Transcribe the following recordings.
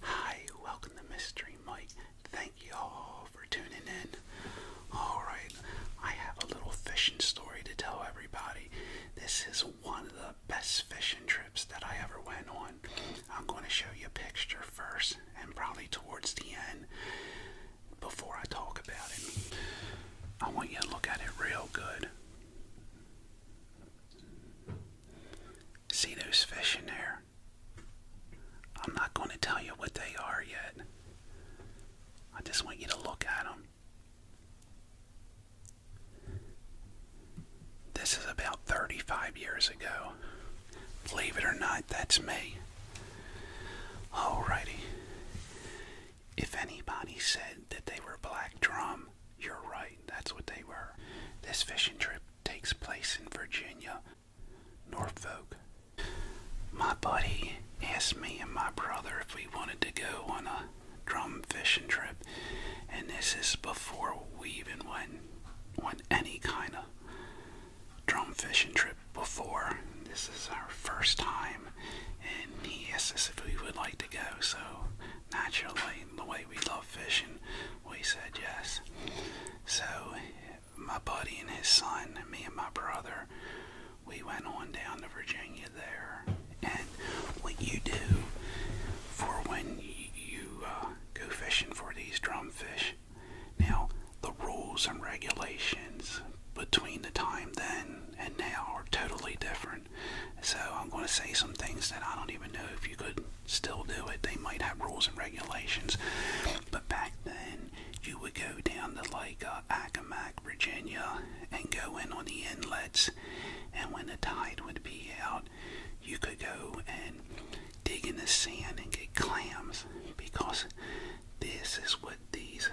Hi, welcome to Mystery Mike. Thank you all for tuning in. Alright, I have a little fishing story to tell everybody. This is one of the best fishing trips that I ever went on. I'm going to show you a picture first and probably towards the end before I talk about it. I want you to look at it real good. See those fish in there? I'm not going to tell you what they are yet. I just want you to look at them. This is about 35 years ago. Believe it or not, that's me. Alrighty. If anybody said that they were black drum, you're right, that's what they were. This fishing trip takes place in Virginia, Norfolk. My buddy asked me and my brother if we wanted to go on a drum fishing trip, and this is before we even went on any kind of drum fishing trip before. This is our first time, and he asked us if we would like to go. So naturally, the way we love fishing, we said yes. So my buddy and his son, me and my brother, we went on down to Virginia there. And what you do for when you uh, go fishing for these drumfish, now the rules and regulations between the time then and now are totally different. So I'm going to say some things that I don't even know if you could still do it. They might have rules and regulations, but back then you would go down the lake, uh, Accomack, Virginia, and go in on the inlets. And when the tide would be out, you could go and dig in the sand and get clams because this is what these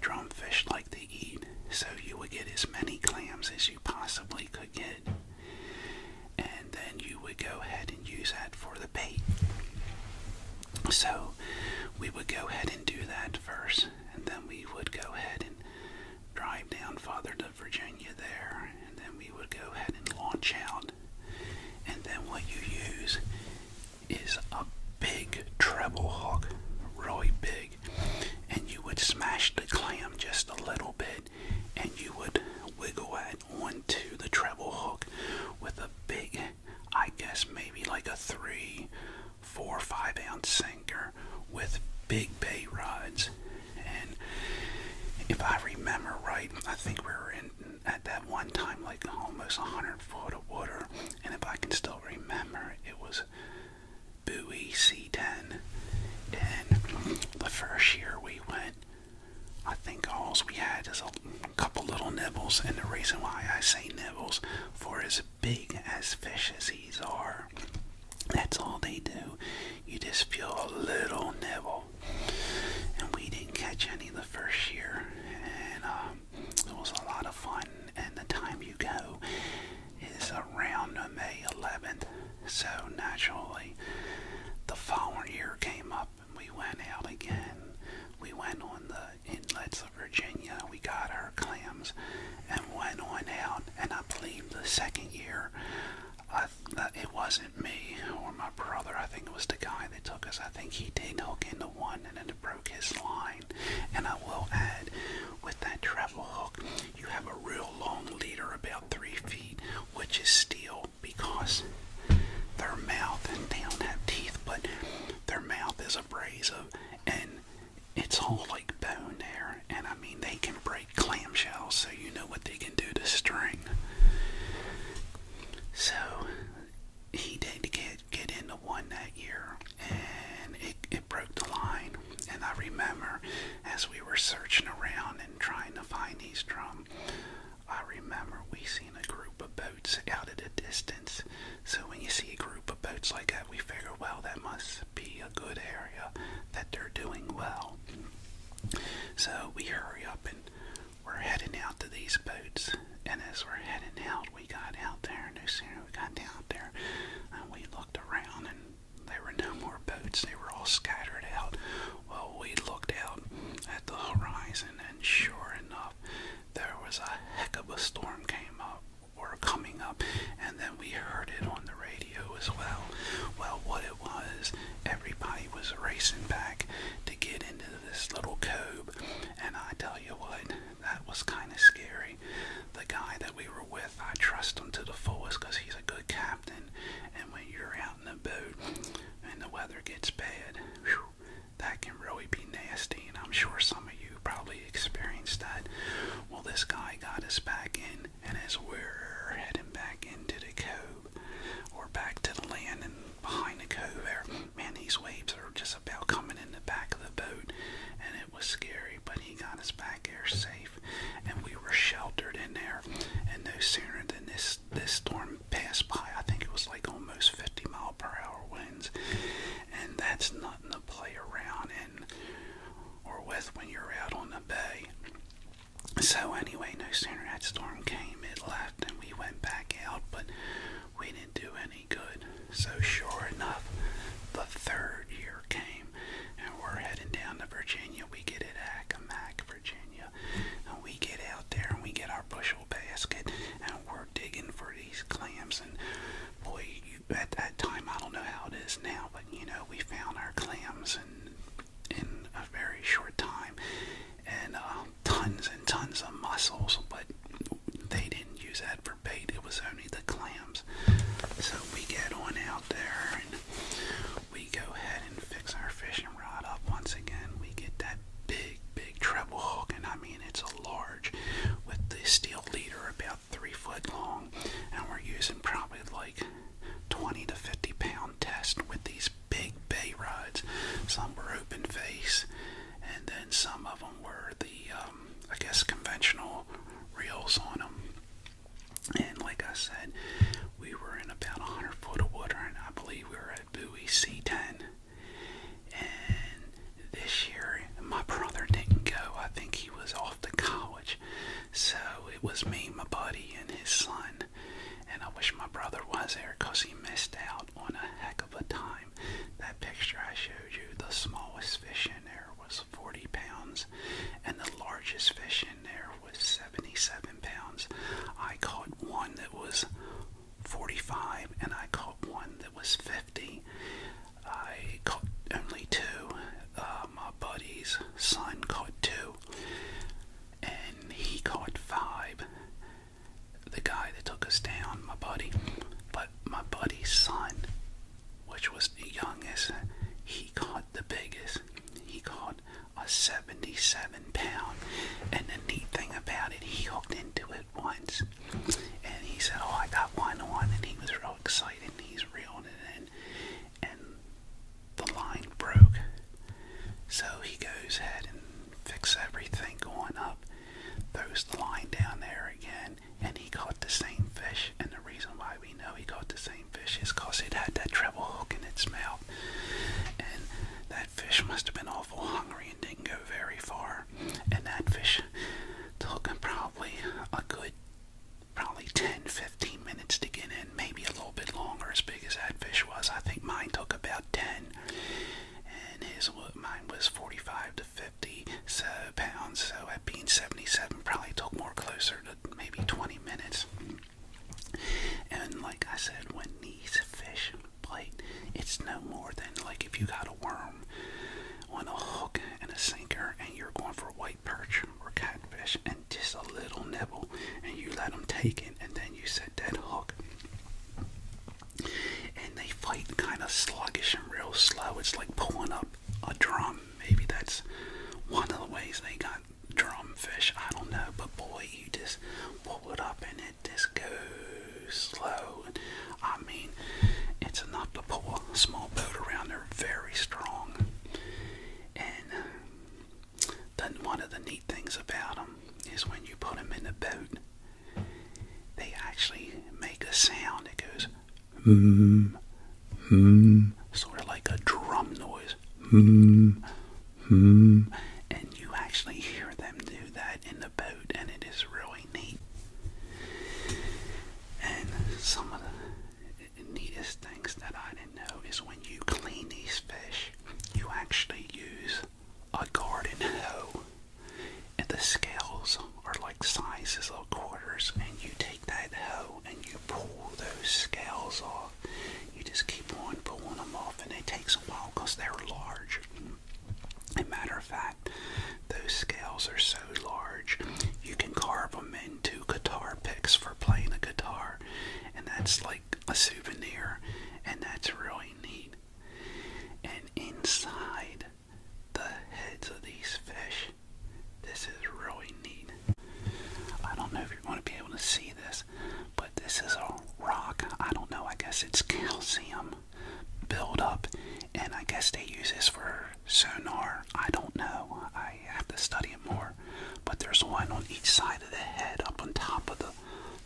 drumfish like to eat. So you would get as many clams as you possibly could get and then you would go ahead and use that for the bait. So we would go ahead and do that first, and then we would go ahead and drive down farther to Virginia there, and then we would go ahead and launch out. And then what you use is a big treble hook, really big and you would smash the clam just a little bit and you would wiggle it onto the treble hook with a big, I guess maybe like a three, four, five ounce sinker with big bay rods. And if I remember right, I think we were in at that one time like almost a 100 foot of water. And if I can still remember, it was buoy C10. And the first year we went, I think all we had is a couple little nibbles. And the reason why I say nibbles, for as big as fishes are, that's all they do. You just feel a little nibble. And we didn't catch any the first year. And um, it was a lot of fun. And the time you go, is around May 11th. So naturally, the following year came up and we went out again. We went on the inlets of Virginia. We got our clams and went on out. And I believe the second year, it wasn't me or my brother. I think it was the guy that took us. I think he did hook into one and then it broke his line. And I will add, with that treble hook, you have a real long leader, about three feet, which is steel because their mouth, and they don't have teeth, but their mouth is abrasive and it's all like bone there. And I mean, they can break clam shells, so you know what they can do to string. So he did get get into one that year, and it, it broke the line. And I remember as we were searching around and trying to find these drum, I remember we seen a group of boats out at a distance. So when you see a group of boats like that, we figure, well, that must be a good area that they're doing well. So we hurry up and we're heading out to these boats. And as we're heading out, we got out there, and no sooner we got out there, and uh, we looked around and there were no more boats, they were all scattered out. Well, we looked out at the horizon, and sure enough, there was a heck of a storm came up or coming up, and then we heard it on the radio as well. Well, what it was, everybody was racing back to get into this little cove, and I tell you what, that was kind of scary. The guy that we were with I trust him to the fullest because he's a good captain. And when you're out in the boat and the weather gets bad, that can really be nasty. And I'm sure some of you probably experienced that. Well, this guy got us back in, and as we're heading back into the cove or back to the land and behind the cove there, man, these waves are just about coming in the back of the boat, and it it was scary, but he got us back there safe, and we were sheltered in there. And no sooner than this this storm passed by, I think it was like almost 50 mile per hour winds, and that's nothing to play around in or with when you're out on the bay. So anyway, no sooner that storm came, it left, and we went back out, but we didn't do any good. So, sure enough, the third year came, and we're heading down to Virginia. We get it at Accomack, Virginia, and we get out there and we get our bushel basket, and we're digging for these clams. And boy, you, at that time, I don't know how it is now, but you know, we found our clams and in a very short time, and uh, tons and tons of muscles. but they didn't use that for bait. It was only the clams cams. So we get on out there and we go ahead and fix our fishing rod up once again. We get that big, big treble hook, and I mean it's a large with the steel leader about three foot long, and we're using probably like 20 to 50 pound test with these big bay rods. Some were open face, and then some of them were the uh, um, I guess, conventional reels on them. And like I said, we were in about 100 foot of water, and I believe we were at buoy C10. And this year, my brother didn't go. I think he was off to college. So it was me, my buddy, and his son. And I wish my brother was there because he missed out on a heck of a time. That picture I showed you, the smallest fish in there was 40 pounds, and the largest fish in there was 77 pounds. I caught one that was 45, and I caught one that was 50. I caught only two. Uh, my buddy's son caught two, and he caught five. The guy that took us down, my buddy, but my buddy's son which was the youngest, he caught the biggest. He caught a 77 pound. And the neat thing about it, he hooked into it once. And he said, Oh, I got one on. And he was real excited. And he's reeling it in. And the line broke. So he goes ahead and fixes everything going up, throws the line down there again, and he caught the same fish. And the reason why we know he caught the same fish is because it had that treble hook in its mouth. And that fish must have been awful hungry and didn't go very far. And that fish took probably a good probably 10 15 minutes to get in, maybe a little bit longer, as big as that fish was. I think mine took about 10, and his mine was 45 50 so pounds, so at being 77, probably took more closer to maybe 20 minutes. And like I said, when these fish bite, it's no more than like if you got a worm on a hook and a sinker and you're going for white perch or catfish and just a little nibble and you let them take it and then you set that hook and they fight kind of sluggish and real slow. It's like pulling up a drum. Maybe that's one of the ways they got drumfish. I don't know, but boy, you just pull it up and it just goes slow. I mean, it's enough to pull a small boat around. They're very strong. And then one of the neat things about them is when you put them in the boat, they actually make a sound. It goes Hmm, mm, sort of like a drum noise. Hmm, hmm, and you actually hear them do that in the boat, and it is really neat. And some of the neatest things that I didn't know is when you clean these fish, you actually use a garden hoe and the scales are like sizes of quarters and you take that hoe and you pull those scales off you just keep on pulling them off and it takes a while because they're large and matter of fact those scales are so large you can carve them into guitar picks for playing a guitar and that's like a souvenir and that's really neat and inside the heads of these fish. This is really neat. I don't know if you're going to be able to see this, but this is a rock. I don't know, I guess it's calcium buildup, and I guess they use this for sonar. I don't know, I have to study it more. But there's one on each side of the head, up on top of the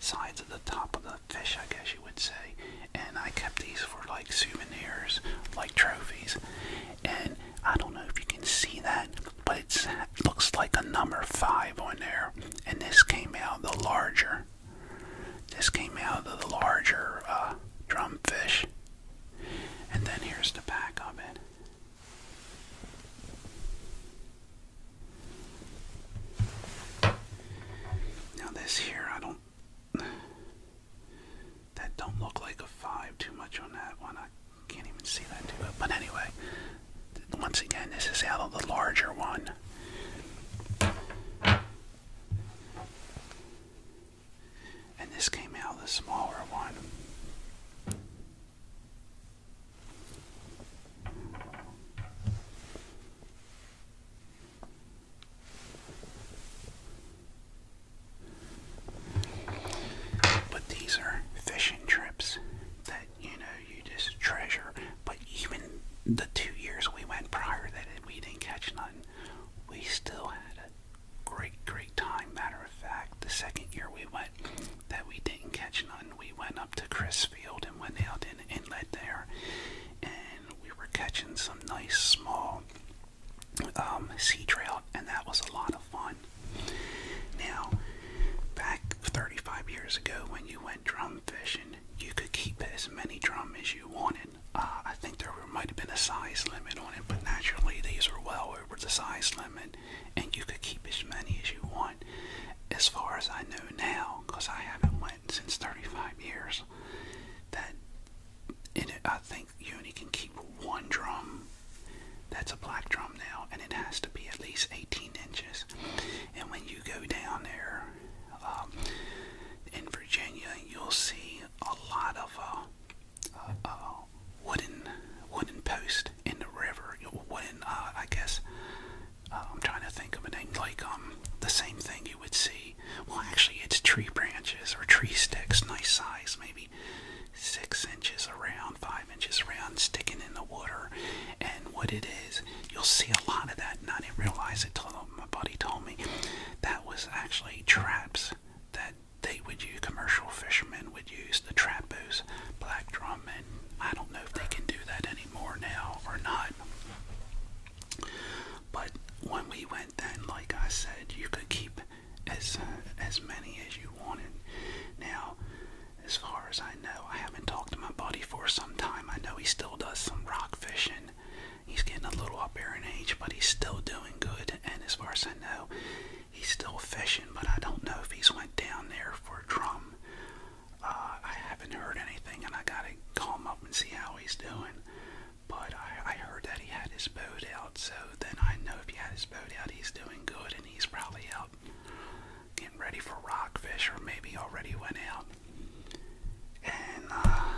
sides of the top of the fish, I guess you would say, and I kept these for like souvenirs, like trophies. And I don't know if you can see that, but it looks like a number five on there. And this came out the larger. This came out of the larger uh, drumfish. And then here's the back of it. Now, this here, I don't that don't look like a five too much on that one. I can't even see that too But anyway, once again, this is out of the larger one. And this came out of the smaller one. But these are fishing trips that you know you just treasure. But even the two years we went prior that we didn't catch nothing, we still had a great, great time. Matter of fact, the second year we went that we didn't catch nothing, we went up to Chris Field and went out in the inlet there and we were catching some nice small um, sea trout, and that was a lot of fun. Now, back 35 years ago, when you went drum fishing, you could keep as many drum as you wanted. Uh, I think there were, might have been a size limit on it, but naturally these are well over the size limit, and you could keep as many as you want. As far as I know now, because I haven't went mine since 35 years that it, I think you only can keep one drum that's a black drum now, and it has to be at least 18 inches. And when you go down there um, in Virginia, you'll see a lot of uh, uh, uh, wooden wooden posts in the river, wooden, uh, I guess, uh, I'm trying to think of a name like um the same thing you would see. Well, actually, it's tree branches or tree sticks, nice size, maybe six inches around, five inches around, sticking in the water. And what it is, you'll see a lot of that, and I didn't realize it till my buddy told me. That was actually traps that they would use. Commercial fishermen would use the trapos, black drum, and I don't know if they can do that anymore now or not. But when we went then, like I said, you could keep as uh, as many as you wanted. Now, as far as I know, I haven't talked to my buddy for some time. I know he still does some rock fishing. He's getting a little up there in age, but he's still doing good. And as far as I know, he's still fishing. But I don't know if he's went down there for drum uh, I haven't heard anything, and I gotta call him up and see how he's doing. But I, heard that he had his boat out, so then I know if he had his boat out, he's doing good, and he's probably out getting ready for rockfish, or maybe already went out. And uh,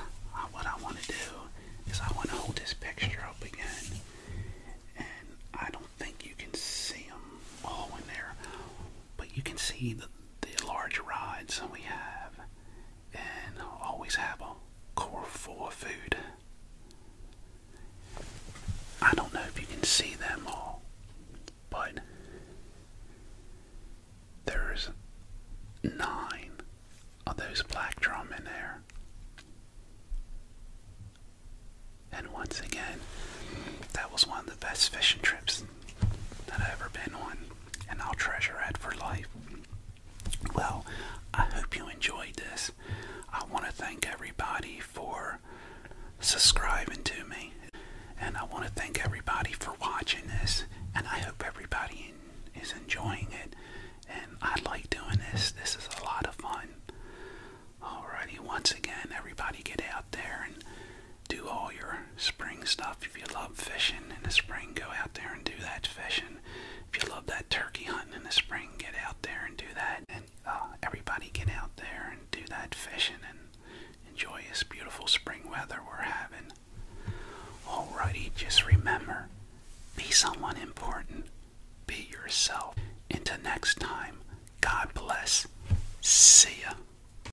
what I want to do is I want to hold this picture up again, and I don't think you can see them all in there, but you can see the the large rods we have and always have a core full of food. I don't know if you can see them all, but there's nine of those black drum in there. And once again, that was one of the best fishing trips that I've ever been on, and I'll treasure it for life. Well, I hope you enjoyed this. I want to thank everybody for subscribing to me, and I want to thank everybody for watching this, and I hope everybody is enjoying it. And I like doing this, this is a lot of fun. Alrighty, once again, everybody get out there and do all your spring stuff. If you love fishing in the spring, go out there and do that fishing. If you love that turkey hunting in the spring, get out there and do that. And uh, everybody get out there and do that fishing and enjoy this beautiful spring weather we're having. Alrighty, just remember be someone important, be yourself. Until next time, God bless. See ya.